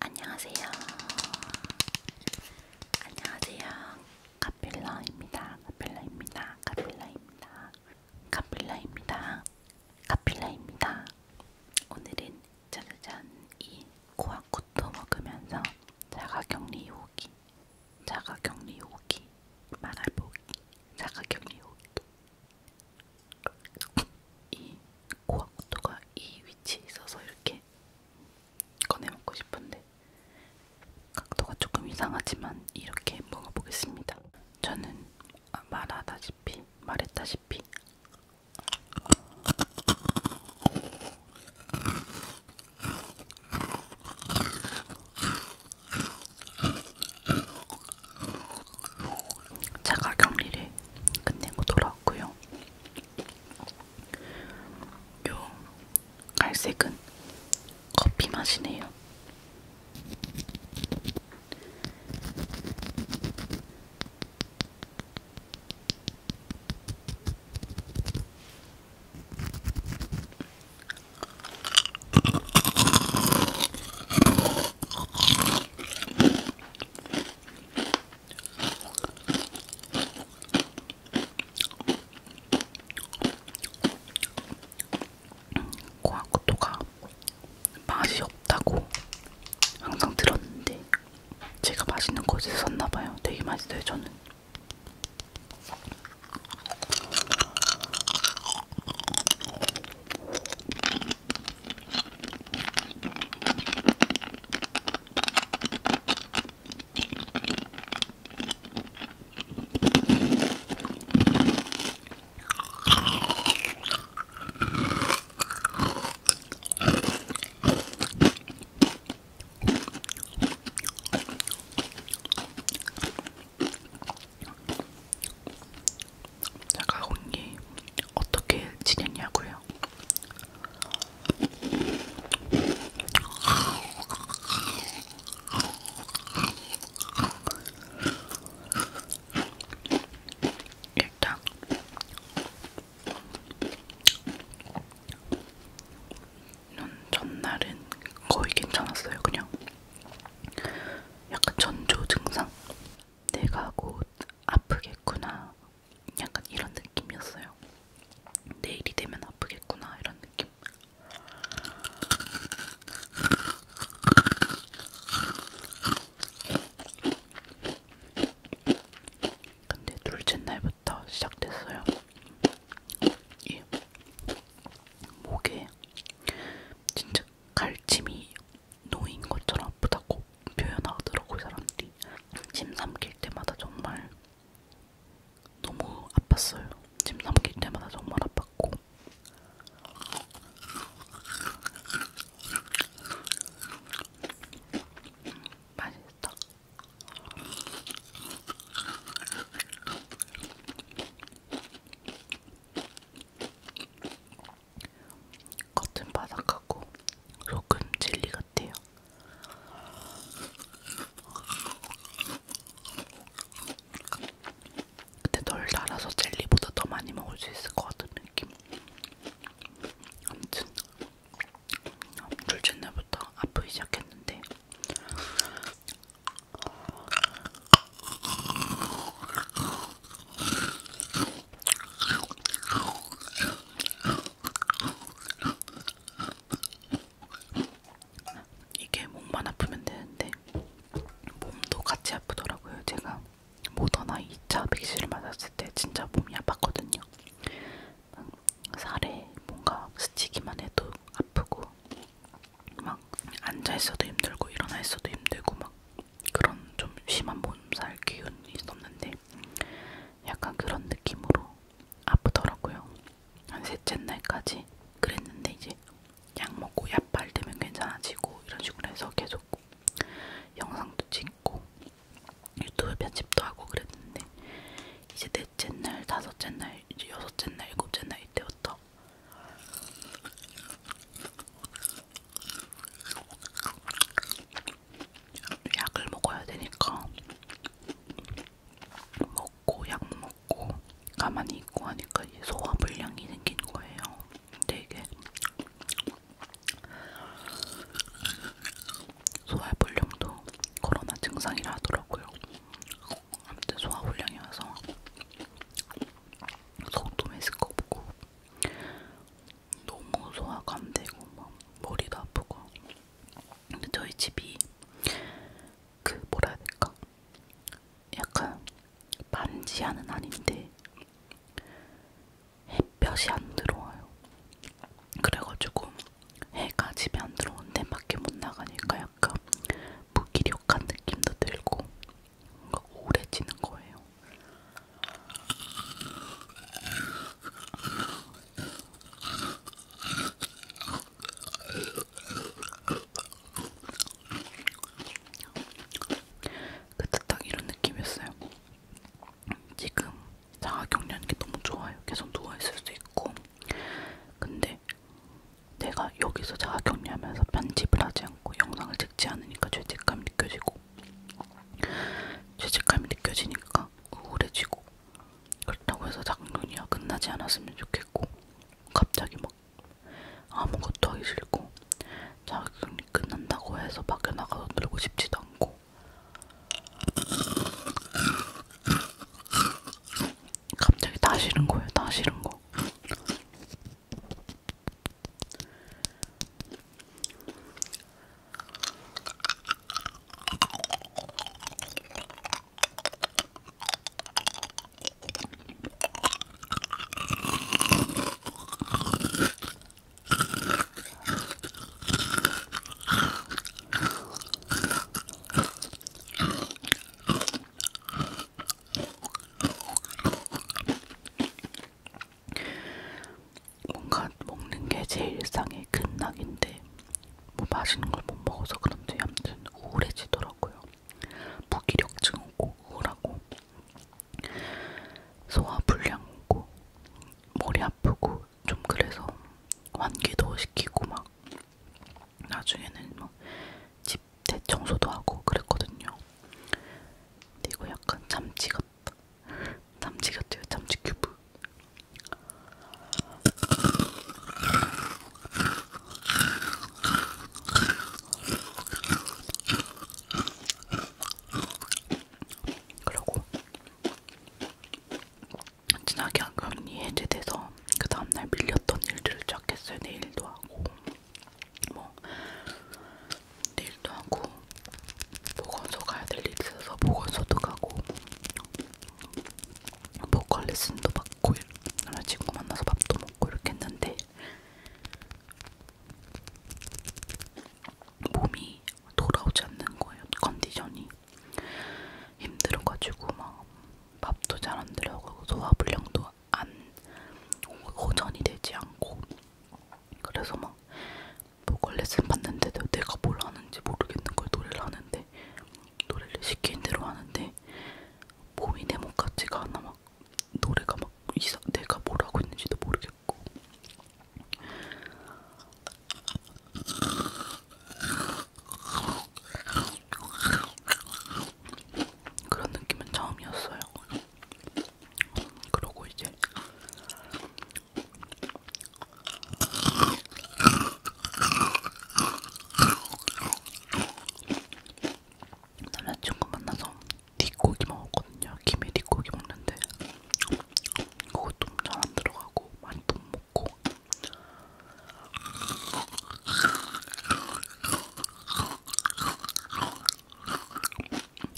안녕하세요. 안녕하세요. 카필라입니다. 카필라입니다. 카필라입니다. 카필라입니다. 카필라입니다. 오늘은 짜자잔 이 고아코토 먹으면서 자가격리 요기, 자가격리 요기, 말아보기, 자가격리 요기. 이 고아코토가 이 위치에 있어서 이렇게 꺼내먹고 싶은데 각도가 조금 이상하지만 이렇게 먹어보겠습니다. 저는 말하다시피 말했다시피 자가 격리를 끝내고 돌아왔고요. 요 갈색은 커피 맛이네요. 고아쿠토가 맛이 없다고 항상 들었는데 제가 맛있는 곳에 썼나봐요. 되게 맛있어요, 저는. 나가 언니 어떻게 지냈냐고요? 일단 눈 전날은 거의 괜찮았어요. 그냥 약간 전조 증상. 내가 곧 아프겠구나 약간 이런 느낌이었어요. 내일이 되면 아프겠구나 이런 느낌. 근데 둘째 날부터 시작됐어요. 이 목에 진짜 갈침이 놓인 것처럼 아프다고 표현하더라고요 사람들이. 침 삼킬 때마다 정말 너무 아팠어요. 집 넘길 때마다 정말 아팠고. 맛있다. 겉은 바삭하고 속은 젤리 같아요. 근데 덜 달아서 젤리보다 더 많이 먹을 수 있을 것 같은 느낌. 아무튼 둘째 날부터 아프기 시작했는데 이게 목만 아프면 되는데 몸도 같이 아프더라고요. 제가 모더나 2차 백신을 맞았을 때 진짜 몸이 아팠거든요. 막 살에 뭔가 스치기만 해도 아프고 막 앉아 있어도 힘들고 일어나 있어도 힘들고 막 그런 좀 심한 몸살 기운이 있었는데 약간 그런 느낌으로 아프더라고요. 한 셋째 날까지 그랬는데 이제 약 먹고 약발 되면 괜찮아지고 이런 식으로 해서 계속 영상도 찍고 유튜브 편집도 하고 그랬는데 이제 넷째 날, 다섯째 날, 이제 여섯째 날, 일곱째 날 이때부터 약을 먹어야 되니까 먹고 약 먹고 가만히 있고 하니까 소화 불량이 생긴 거예요. 근데 이게 소화 불량도 코로나 증상이라 하더라고요. 아무튼 소화 불량이 와서 속도 메스껍고 너무 소화가 안 되고 막 머리도 아프고 근데 저희 집이 그 뭐라 해야 될까? 약간 반지하는 아닌데 햇볕이 안 들어와요. 그래가지고 해가 집에 안 들어오는데 밖에 못 나가니까 약간 무기력한 느낌도 들고 뭔가 우울해지는 거예요. 그때 딱 이런 느낌이었어요. 지금 자가격리하는 게 너무 좋아요. 계속 누워있을 수 있고. 근데 내가 여기서 자가격리하면서 편집을 하지 않고 영상을 찍지 않으니까 죄책감이 느껴지고 죄책감이 느껴지니까 우울해지고 그렇다고 해서 작년이야 끝나지 않았으면 좋겠고 갑자기 막 아무것도 하기 싫고 작년이 끝난다고 해서 밖에 나가서 놀고 싶지도 않고 갑자기 다 싫은 거예요 다 싫은 거 뭔가 먹는 게제 일상에 되게 큰 낙인데 뭐 맛있는 걸 못 먹어서 그런지 아무튼 우울해지더라고요. 무기력증 오고 우울하고 소화 불량 오고 머리 아프고 좀 그래서 환기도 시키고 막 나중에는 뭐 집 대청소도 하고 그랬거든요. 근데 이거 약간 참치 같다. 참치 같아요. 참치 큐브. 그러고 지나게 금리 해제돼서 그 다음날 밀렸던 일들을 쫙 했어요. 내일도 하고 뭐 내일도 하고 보건소 가야 될 일 있어서 보건소도 가고 보컬 레슨도 받고 여러 친구 만나서 밥도 먹고 이렇게 했는데 몸이 돌아오지 않는 거예요. 컨디션이 힘들어가지고 막 밥도 잘 안 들어가고 소화불량도 안 호전이 되지 않고 그래서 막 보컬 레슨 받는데도 내가 뭘 하는지 모르겠는 걸 노래를 하는데 노래를 시킨 대로 하는데 몸이 내목 같지가 않아 막 노래가 막 이사, 내가 뭘 하고 있는지도 모르겠고 그런 느낌은 처음이었어요. 그러고 이제 남자친구 만나서 뒷고기 먹었거든요. 김에 뒷고기 먹는데 그것도 잘안 들어가고 많이 못 먹고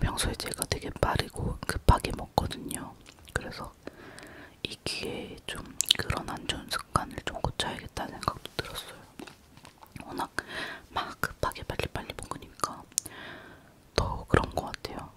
평소에 제가 되게 빠르고 급하게 먹거든요. 그래서 그래서 이 기회에 좀 그런 안 좋은 습관을 좀 고쳐야겠다는 생각도 들었어요. 워낙 막 급하게 빨리빨리 먹으니까 더 그런 것 같아요.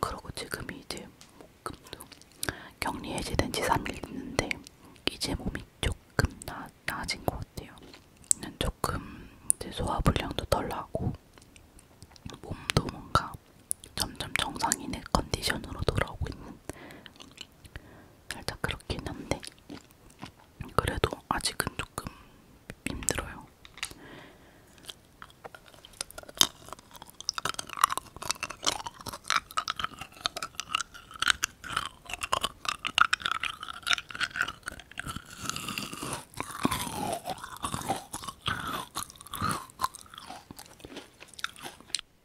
그러고 지금이 이제 목금도 격리 해제된 지 3일 됐는데 이제 몸이 조금 나, 나아진 것 같아요. 조금 이제 소화불량도 덜 나고 몸도 뭔가 점점 정상인의 컨디션으로 돌아오고 있는 살짝 그렇긴 한데 그래도 아직은 조금 힘들어요.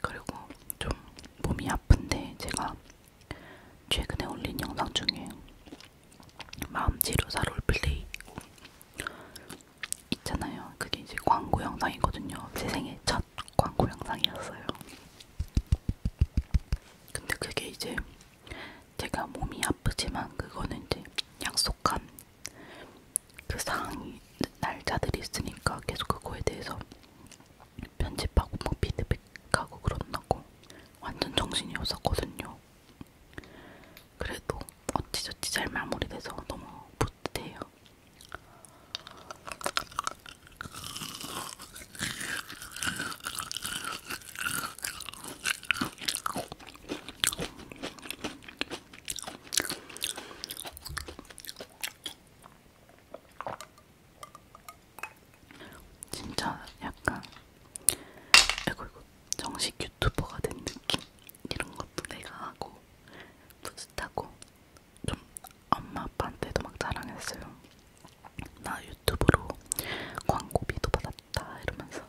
그리고 좀 몸이 아픈데 제가 최근에 올린 영상 중에 마음 치료사 롤플레이 있잖아요. 그게 이제 광고 영상이거든요. 제 생애 첫 광고 영상이었어요. 근데 그게 이제 제가 몸이 아프지만 그거는 이제 약속한 그 상이 날짜들이 있으니까 계속 그거에 대해서 편집하고 뭐 피드백하고 그런다고 완전 정신이 없었거든요. 그래도 어찌저찌 잘 마무리돼서 너무 뿌듯해요. 진짜 약간 이거 이거 정식 유튜버가 된 느낌 이런 것도 내가 하고 뿌듯하고 좀 엄마 아빠한테도 막 자랑했어요. 나 유튜브로 광고비도 받았다 이러면서.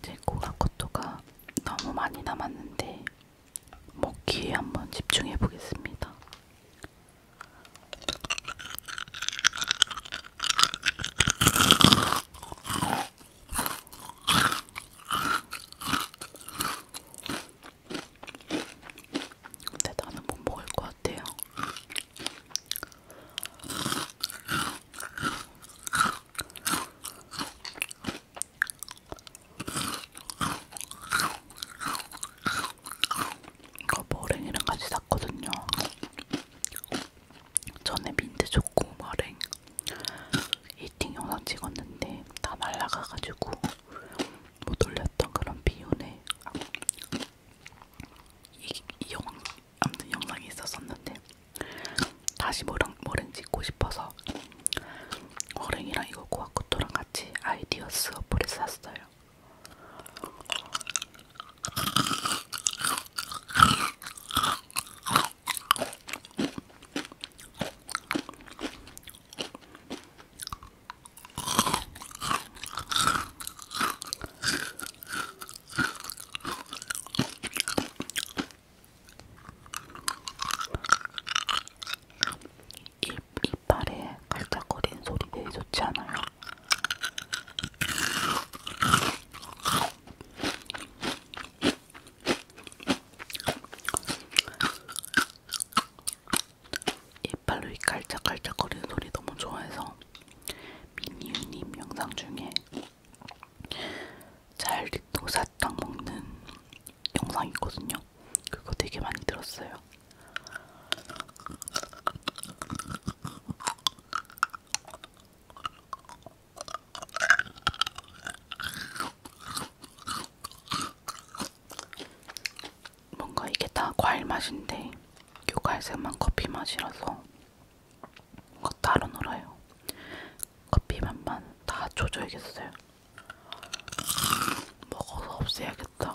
이제 고아코토가 너무 많이 남았는데 먹기에 한번 집중해 보겠습니다. 근데 나는 못 먹을 것 같아요. 이거 머랭이랑 같이 샀거든요. 전에 민트 초코 머랭 이팅 영상 찍었는데 다 말라가가지고 못 올렸던 그런 비운에 이, 이 영상 아무튼 영상이 있었었는데 다시 머랭 머랭 찍고 싶어서 머랭이랑 이거 고아쿠토랑 같이 아이디어스 어플을 샀어요. 입, 이빨에 갈짝거리는 소리 되게 좋지 않아요? 이빨로 이 깔짝깔짝 거리는 소리 너무 좋아해서 미니유님 영상 중에 잘리도 사탕 먹는 영상이 있거든요. 그거 되게 많이 들었어요. 뭔가 이게 다 과일 맛인데 요 갈색만 커피 맛이라서 뭔가 따로 놀아요. 커피 맛만 다 조져야겠어요. 먹어서 없애야겠다.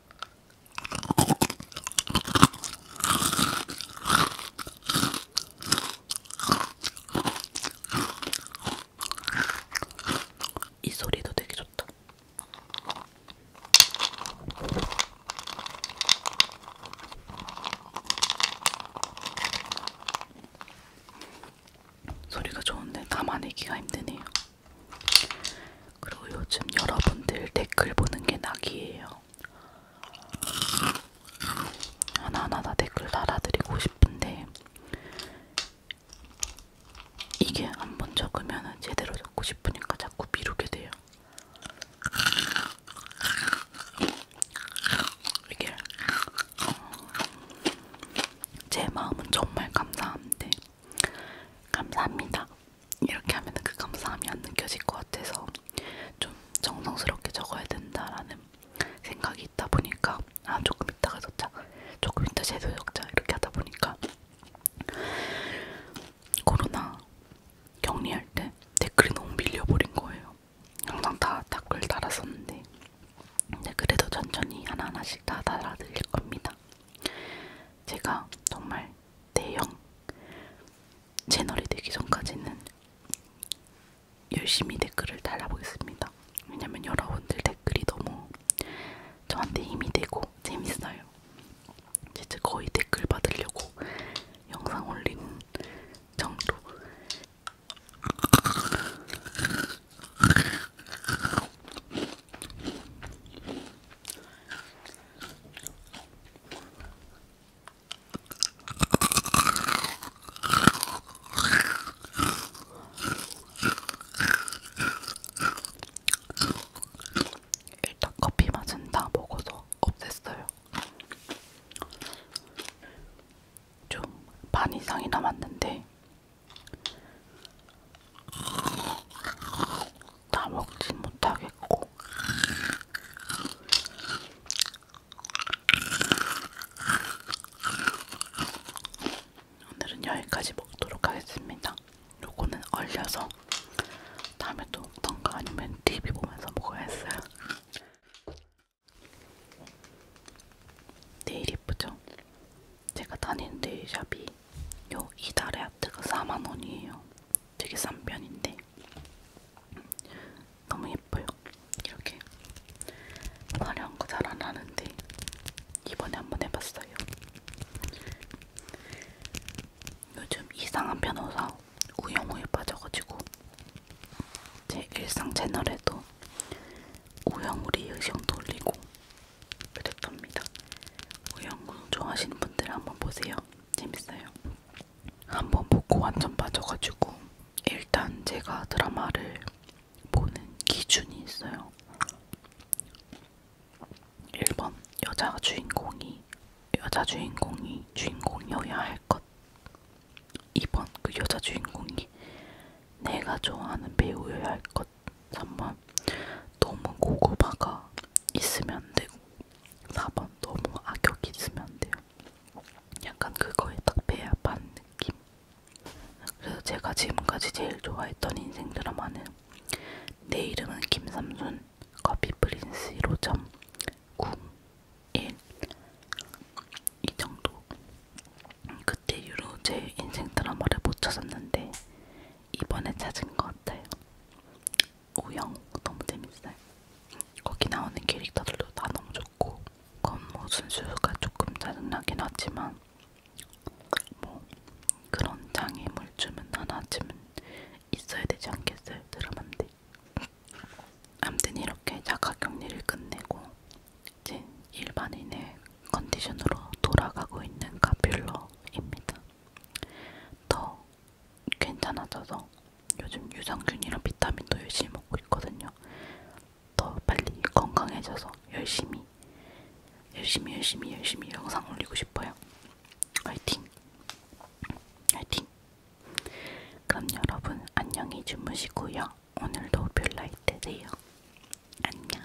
이 소리도 되게 좋다. 소리가 좋은데 담아내기가 힘드네요. 그리고 요즘 여러분들 댓글 보는 게 낙이에요. 하나하나 다 댓글 달아드리고 싶은데 이게 한번 적으면 제대로 적고 싶으니까 자꾸 미루게 돼요. 이게 어, 제 마음은 정말 감사한데 감사합니다. 이렇게 하면 그 감사함이 안 느껴질 것 같아서 좀 정성스럽게 적어야 된다라는 생각이 있다 보니까 아 조금 이따가 적자 조금 이따 제도 적자 이렇게 하다 보니까 코로나 격리할 때 댓글이 너무 밀려버린 거예요. 항상 다 댓글 달았었는데 근데 그래도 천천히 하나하나씩 다 달아드릴 겁니다. 제가 정말 대형 채널이 되기 전까지는 열심히 댓글을 달아보겠습니다. 왜냐면 여러분들 댓글이 너무 저한테 힘이 되고 재밌어요. 진짜 거의 댓글 받으려고 영상 올리는 정도. 일단 커피 맛은 다 먹어서 없앴어요. 좀 반 이상이 남았는데 다 먹지 못하겠고 오늘은 여기까지 먹도록 하겠습니다. 요거는 얼려서 다음에 또 먹던가 아니면 TV 보면서 먹어야 했어요. 네일 이쁘죠? 제가 다니는 네일샵이 요 이달의 아트가 4만원이에요. 되게 싼 편인데 너무 예뻐요. 이렇게 화려한 거 잘 안하는데 이번에 한번 해봤어요. 요즘 이상한 변호사 우영우에 빠져가지고 제 일상 채널에도 우영우 리액션 돌리고 그랬답니다. 우영우 좋아하시는 분들 한번 보세요. 재밌어요. 한번 보고 완전 빠져가지고 일단 제가 드라마를 보는 기준이 있어요. 1번 여자 주인공이 여자 주인공이 주인공이어야 할 것. 2번 그 여자 주인공이 내가 좋아하는 배우여야 할 것. 3번 너무 고구마가 있으면 안 되고 4번 너무 악역이 있으면 안 돼요. 약간 그거에 딱 배합한 느낌. 그래서 제가 지금까지 제일 좋아했던 인생 드라마는 내 이름은 김삼순 커피 프린스 1호점 궁1 이 정도. 그때 이후로 제 인생 드라마를 못 찾았는데 이번에 찾은 것 같아요. 오영 너무 재밌어요. 거기 나오는 캐릭터들도 다 너무 좋고 건모 뭐 순수가 조금 짜증나긴 하지만 뭐 그런 장애물쯤은 하나쯤은 있어야 되지 않겠어요 드라마인데 아무튼 이렇게 자가격리를 끝내고 이제 일반인의 컨디션으로 돌아가고 있는 가필러입니다. 더 괜찮아져서 요즘 유산균이랑 비타민도 열심히 먹고 있거든요. 더 빨리 건강해져서 열심히 열심히 열심히 열심히 영상 올리고 싶어요. 화이팅! 화이팅! 그럼 여러분 안녕히 주무시고요. 오늘도 별라이트 되요. 안녕.